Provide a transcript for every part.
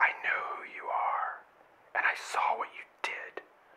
I know who you are, and I saw what you did.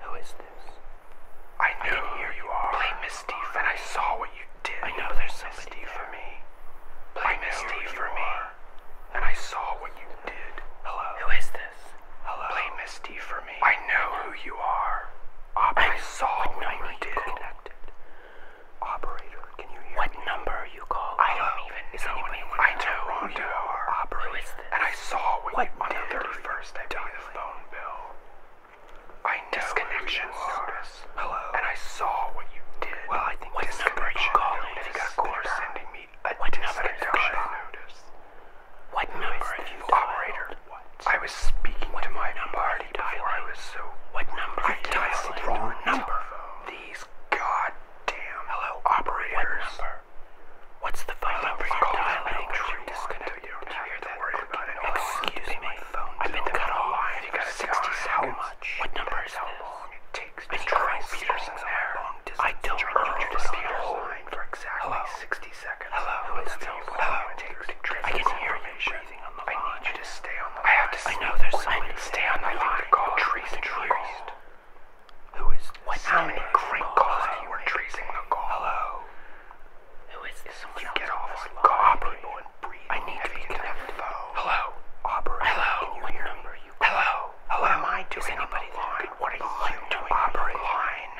Who is this? I know. I who you are. and I saw what you did. I know there's somebody for me. Blame Miss for me, and I saw what you did. Hello. Who is this? Hello. Blame Miss for me. I know who you are. I, saw what you did. Operator, what number are you calling? I don't even is know anyone. I don't know our operator. And I saw when what you, on the 31st I paid the phone bill. I know disconnection notice. Hello. And I saw what you did. Well, I think what number are you calling? Notice. Of course, sending me a what disconnection notice. What Who number have you What number? I was speaking to my party before dialing? I was so. What number? I dialed the wrong number these goddamn hello operators. What number? What's the phone hello, number? Call that number. You disconnected. You hear that? Worry about it. Excuse me. My phone I've been cut off. Line. You got 60 seconds. How much? What number is how long it takes to try Peterson there? I don't know. You just be holding for exactly 60 seconds. Hello. Hello. Hello. I can hear you anything on the I line. need you to stay on the I line. I have to I know there's somebody there. Stay on the I line. The call. Tracing the call. Who is this? What how many great calls you were tracing the call? Hello. Who is this? Someone you get off on call people and breathe. I need to be connected. Hello. Aubrey. Hello. Can you hear me? Hello. Hello. What am I doing? Is anybody on the line? What are you doing? Aubrey. Line.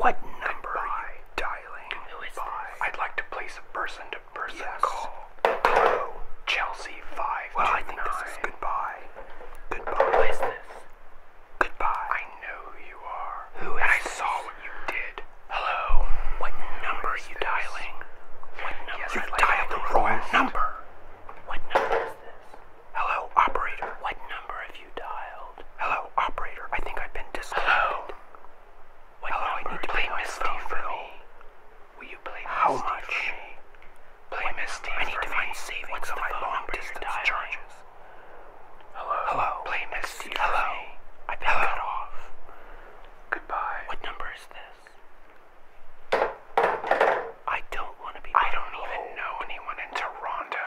What number are you dialing? Who is this? I'd like to place a person to person call. Pro Chelsea 5 Well, I think this is goodbye. Goodbye. Goodbye. I know who you are. Who is I saw what you did. Hello. What number are you dialing? you dialed the wrong number. What number is this? Hello, operator. What number have you dialed? Hello, operator. I think I've been disconnected. Hello, I need to play Misty for me. Will you play How much? for me? Play I need to find savings on my long distance dialing? charges. Hello? Hello? Play Misty Hello? for me. I've been Hello? cut Goodbye. What number is this? I don't want to be. I don't even know anyone in Toronto.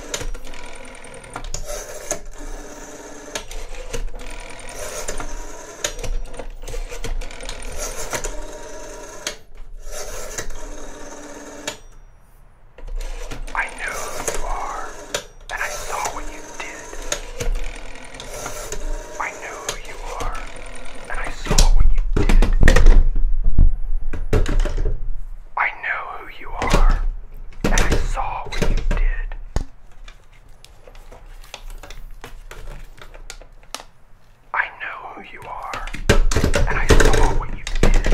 I know who you are, and I saw what you did. I know who you are, and I saw what you did. I know who you are, and I saw what you did. I know who you are, and I saw what you did.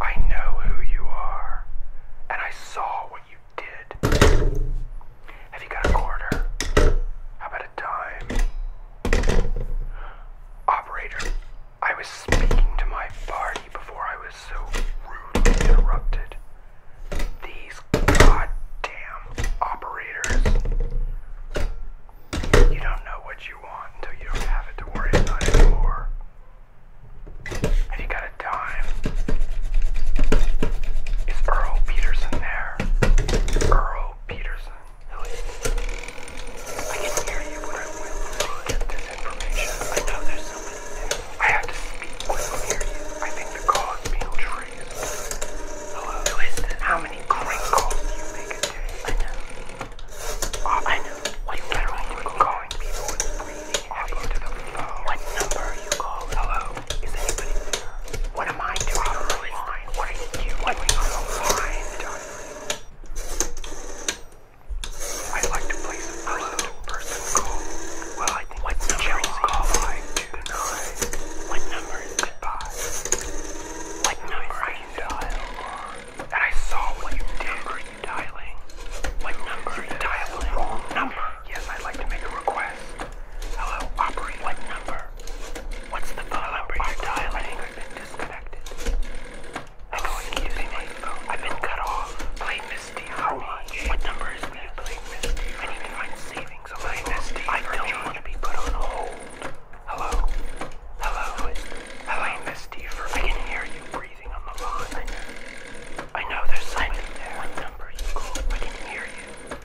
I know who you are, and I saw what you did. Have you got a quarter? How about a dime? Operator, I was speaking to my party before I was so rudely interrupted. These goddamn operators. You don't know what you want until you don't have it to worry about anymore. Have you got a dime? Is Earl Peterson there? Earl Peterson. Who is I can hear you where I went to get this information. I know there's someone there. I have to speak when I hear I think the call is being traced. Hello? How many crank do you make a day? I know. I know. What you number are you calling? calling people with breathing all the phone. What number are you calling? Hello? Is anybody there? What am I doing? What are you doing? I like to place a person-to-person -person call. Well, I think like number is call I do nine. What number is goodbye? What number I can dial? And I saw what you did. when you dialing? What number are you dialing? Wrong number. Yes, I'd like to make a request. Hello, operator. What number? What's the phone number you dialing? I've been disconnected. I know it's using my phone. I've been cut off. Play Misty. How much? What number is that? Play Misty. I need to savings on Misty. I don't want to be put on hold. Hello? Hello? Hello? Misty for I can hear you breathing on the line. I know. there's something there. What number you called? I can hear you.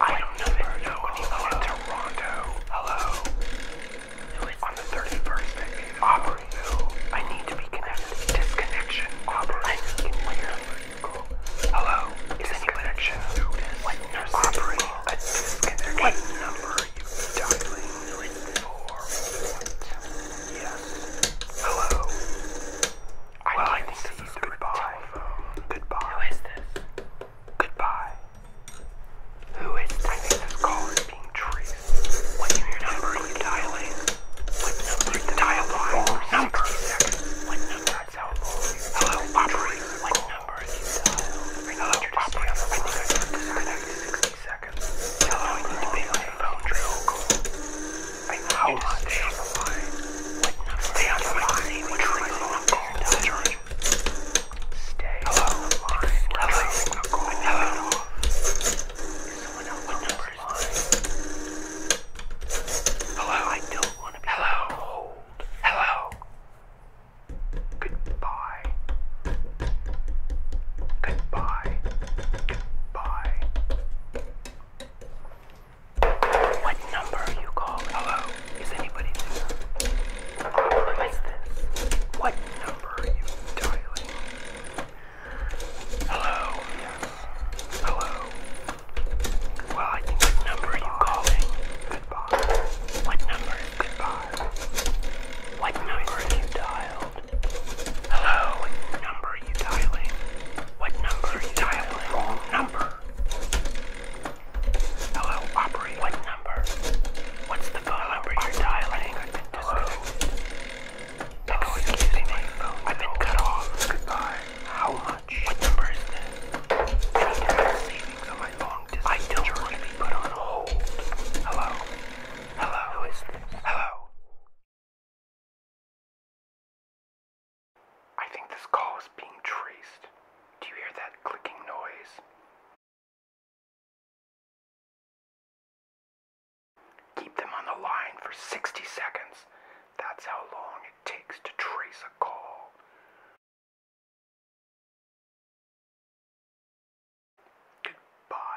I don't know. hello. Toronto. Hello. Who is on the 31st? Aubrey. No. I need to be connected. Disconnection. Aubrey. I need where? Hello. Is disconnection. Notice. What number? Aubrey. A What number you dialing? Four. Yes. Hello. well, I think this is goodbye. Goodbye. Who is this? Goodbye. Who is typing this number you dialing? What number is dial one? Number. What number Hello, operator. What number is you dial? operator. I think I 60 seconds. Hello, I need to make my phone drill call. I need to stay Stay on the line. What number Stay Hello. Online. Hello. Hello. Hello. Hello. Hello. Hello. Goodbye. Goodbye. Goodbye. What number are you calling? Hello? Is anybody there? What is this? What number are you dialing? Hello? Yes. Hello? Well, I think what number are you calling? Goodbye. What number goodbye? What number have you dialed? Hello? What number are you dialing? What number are you dialing? Wrong number. Hello, operator. What number? What's the phone number you're dialing? I've been disconnected. Hello. Oh, I've been cut off. Goodbye. How much? What number is this? Any savings my long distance I don't want to be put on hold. Hello? Hello? Who is Hello? I think this call is being traced. Do you hear that clicking noise? Keep them on the line for 60 seconds. That's how long it takes to trace a call. Goodbye.